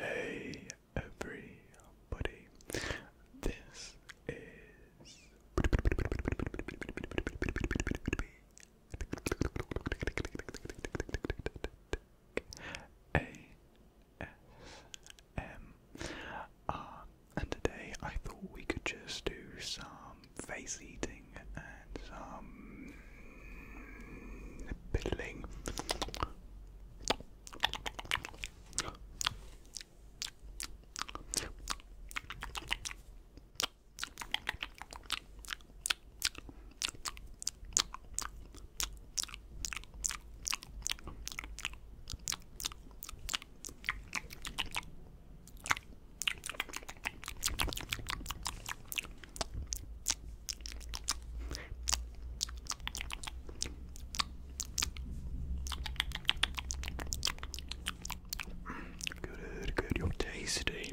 Hey everybody, this is A S.M. Uh, and today I thought we could just do some face eating and some piddling. Good, good, you're tasty.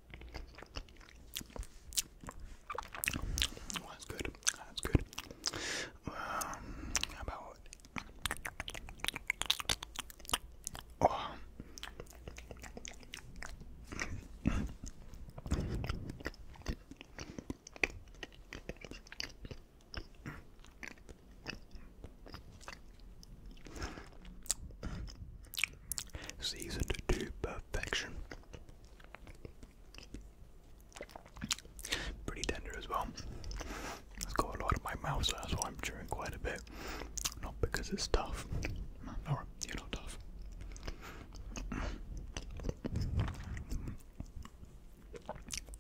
that's good. That's good. Um, about seasoned to perfection. Pretty tender as well. It's got a lot of my mouth, so that's why I'm chewing quite a bit. Not because it's tough. No, you're not tough.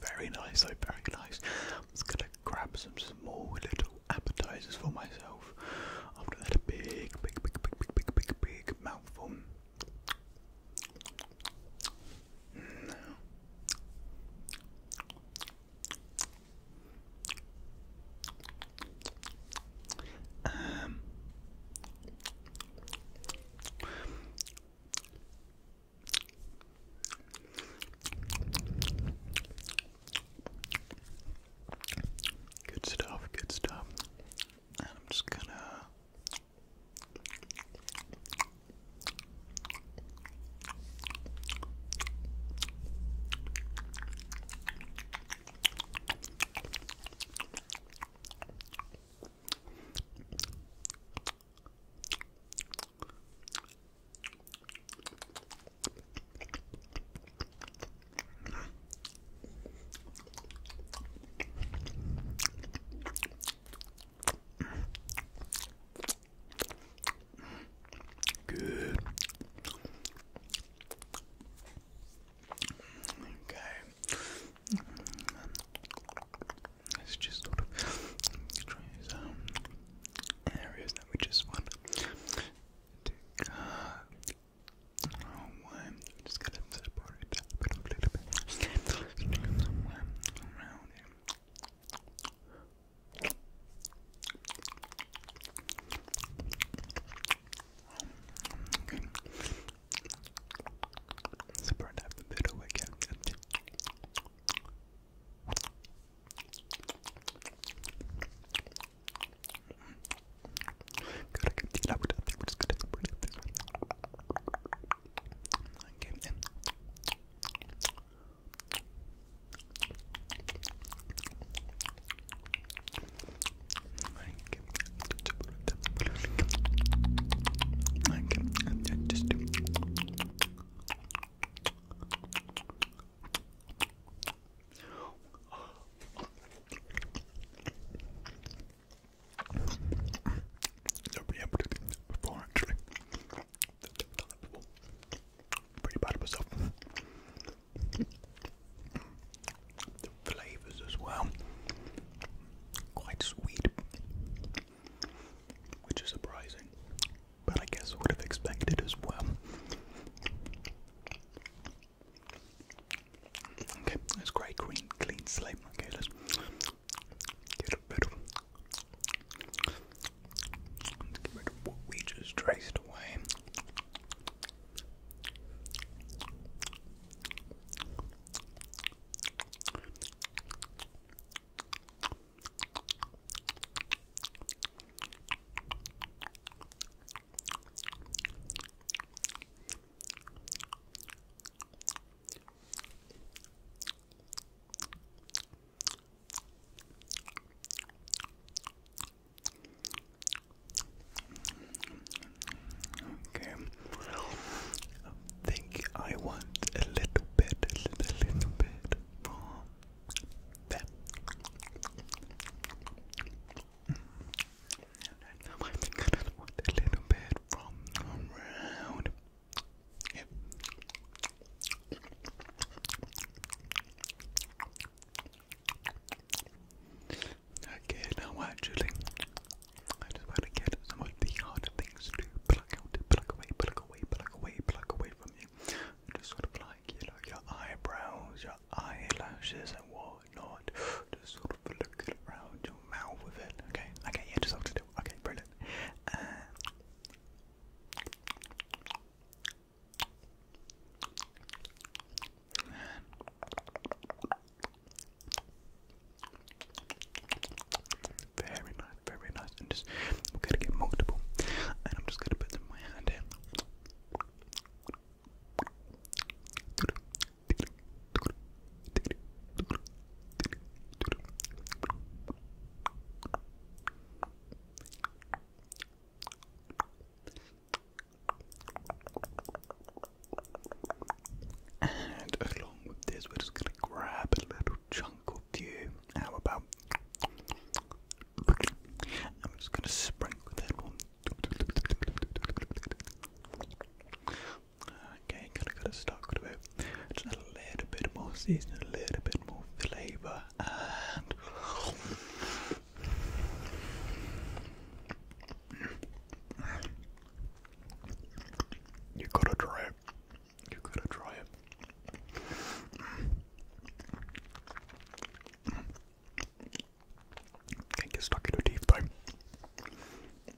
Very nice, oh, very nice. I'm just gonna grab some small little appetizers for myself after that a big, big, big, big, big, big, big, mouthful. Mm. Um, Good stuff, good stuff. I'm just gonna. Good. Okay. Let's just sort of try some areas that we just want to cut Oh, just gotta separate that bit a little bit. around it. Okay. Separate that bit away again. Gotta get the liquid out there. We're just gonna put it this way. Okay, then. Okay, and then just. Okay, Never been able to Pretty bad myself. flavours as well, quite sweet, which is surprising, but I guess I would have expected as well. Okay, that's great, clean, clean slate. Okay, let's get rid of, we just traced away. Okay, I think I want a little bit, a little, bit more. Okay, now actually, I just want to get some of the harder things to pluck out, pluck away, pluck away, pluck away, pluck away from you. Just sort of like, you know, your eyebrows, your eyelashes and whatnot. Just sort of look around your mouth with it. Okay, okay, yeah, just hold it. Okay, brilliant. Uh, very nice, very nice. And just, I'm going to get multiple. And I'm just going to put them in my hand and along with this, we're just going to grab a little chunk of you. How about I'm just gonna sprinkle that one. Okay, gotta gotta start with just a little bit more seasoning, a little bit more flavour, and you gotta try it. You gotta try it. Can't get stuck in your teeth though.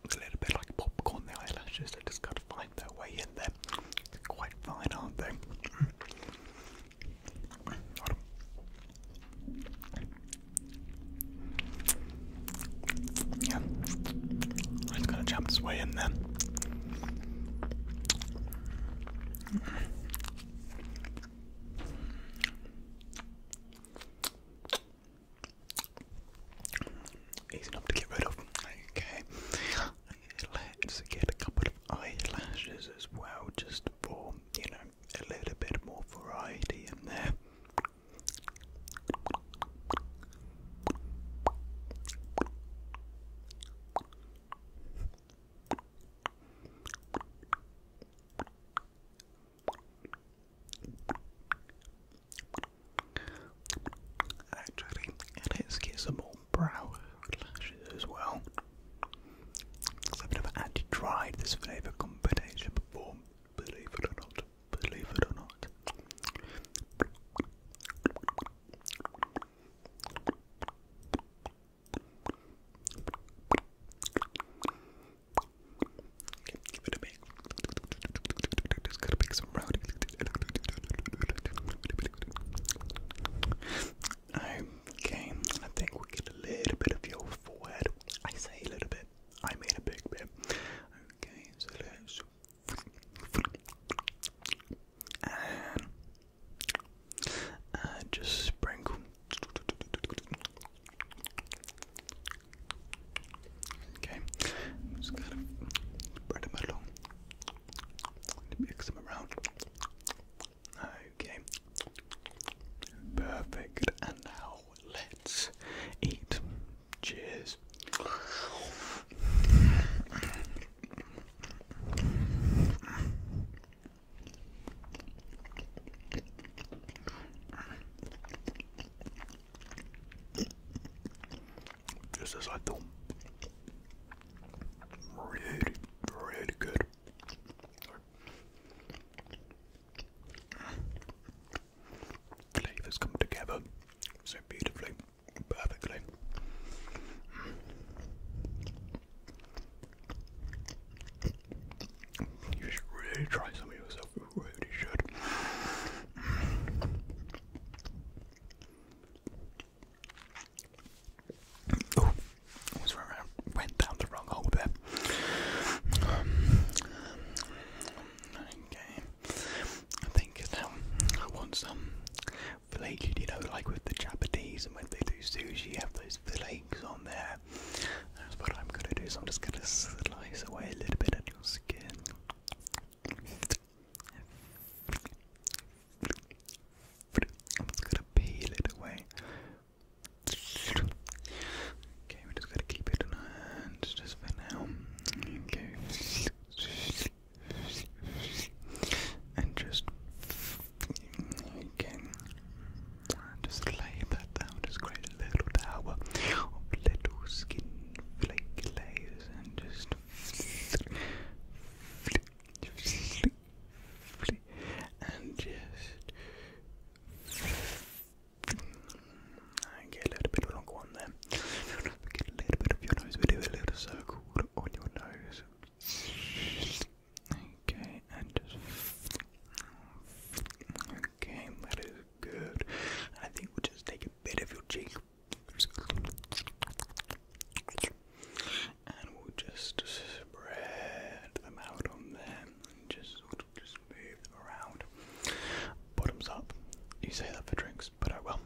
It's a little bit like popcorn, the eyelashes, eh, they just gotta find their way in there. they quite fine, aren't they? Yeah, I'm just gonna jump this way in there. Easy enough to get rid of. Okay, let's get a couple of eyelashes as well, just for you know a little bit more variety in there. Actually, let's get some more brow lashes as well. Because I've never actually tried this flavour combination before, believe it or not. Believe it or not. Okay, give it a big. Just gotta make some round. Okay, I think we get a little bit of your forehead. I say a little bit. I made a big bit. Okay, so let's. Uh, just sprinkle. Okay, just kind of spread them along, mix them around. Okay, perfect. And now let's eat. Cheers. This is like the really, really good. Flavors come together so beautifully, perfectly. You should really try some of yourself. You really should. Oh, I Went down the wrong hole there. okay. I think now um, I want some flaky, you know, like with the Japanese and when they do sushi, you have those flakes on there. That's what I'm gonna do. So I'm just gonna slice away a little bit at your skin. I'm just gonna peel it away. Okay, we're just gonna keep it in our just for now. Okay. And just you can just lay that down, just create a little tower of little skin flaky layers and just flick, flick, flick, and just and get a little bit of a longer one there. Get a little bit of your nose, but do a little circle on your nose. Okay, and Okay, that is good. I think we'll just take a bit of your cheek. And we'll just spread them out on them and just sort of just move them around. Bottoms up. You say that for drinks, but I will.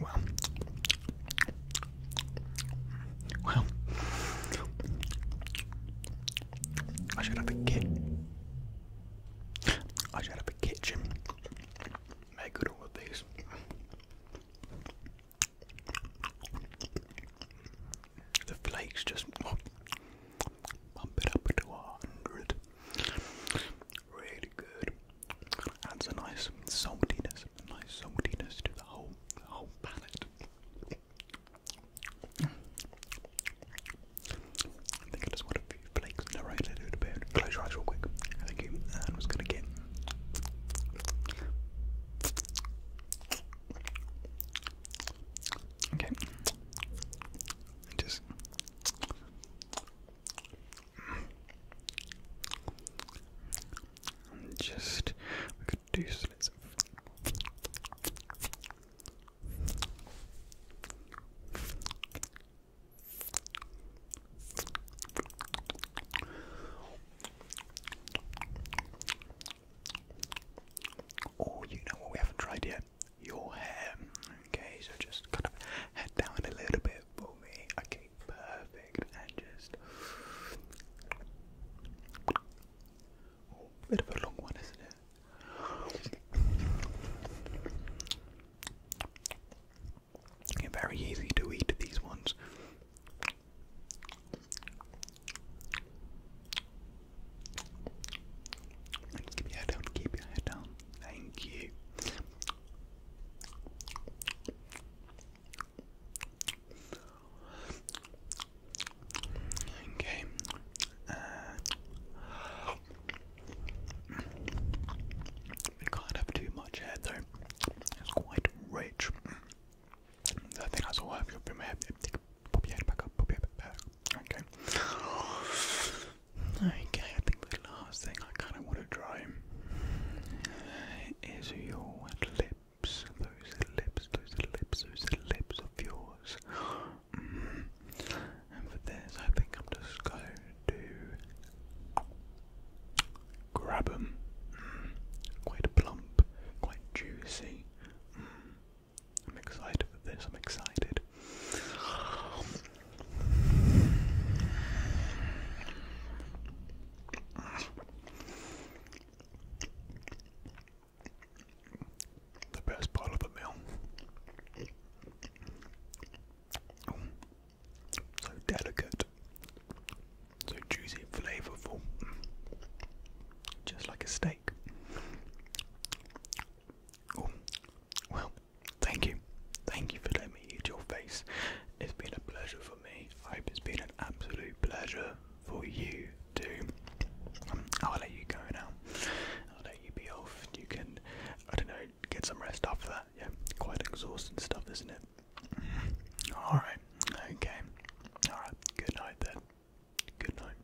Well, well, I should have a kitchen. I should have a kitchen. Make good all these. The flakes just bump it up to a hundred. Really good. Adds a nice saltiness, nice saltiness to the whole, whole palate. I think I just want a few flakes in the right little bit. Close your eyes real quick. Thank you. I'm gonna get. Okay just just we could do slits Oh, you know what we haven't tried yet? your hair. Okay, so just kind of head down a little bit for me. Okay, perfect. And just oh, bit of a long one, isn't it? they very easy to eat these ones keep your head down, keep your head down. Thank you. Okay. Uh, we can't have too much hair though. It's quite rich. I think that's all I have. Your pop your head back up, pop your head back. Okay. Okay, I think the last thing I kind of want to try is your lips. Those lips, those lips, those lips of yours. Mm-hmm. And for this, I think I'm just going to grab them. Mm-hmm. Quite plump, quite juicy. Mm-hmm. I'm excited for this. I'm excited. The best part of the meal. Oh, so delicate, so juicy, flavorful, just like a steak. Oh, well, thank you. Thank you for letting me eat your face. It's been a pleasure for me. I hope it's been an absolute pleasure for you too. Um, I'll let you go now. I'll let you be off. You can, I don't know, get some rest after that. Yeah, quite exhausting stuff, isn't it? Alright, okay. Alright, good night then. Good night.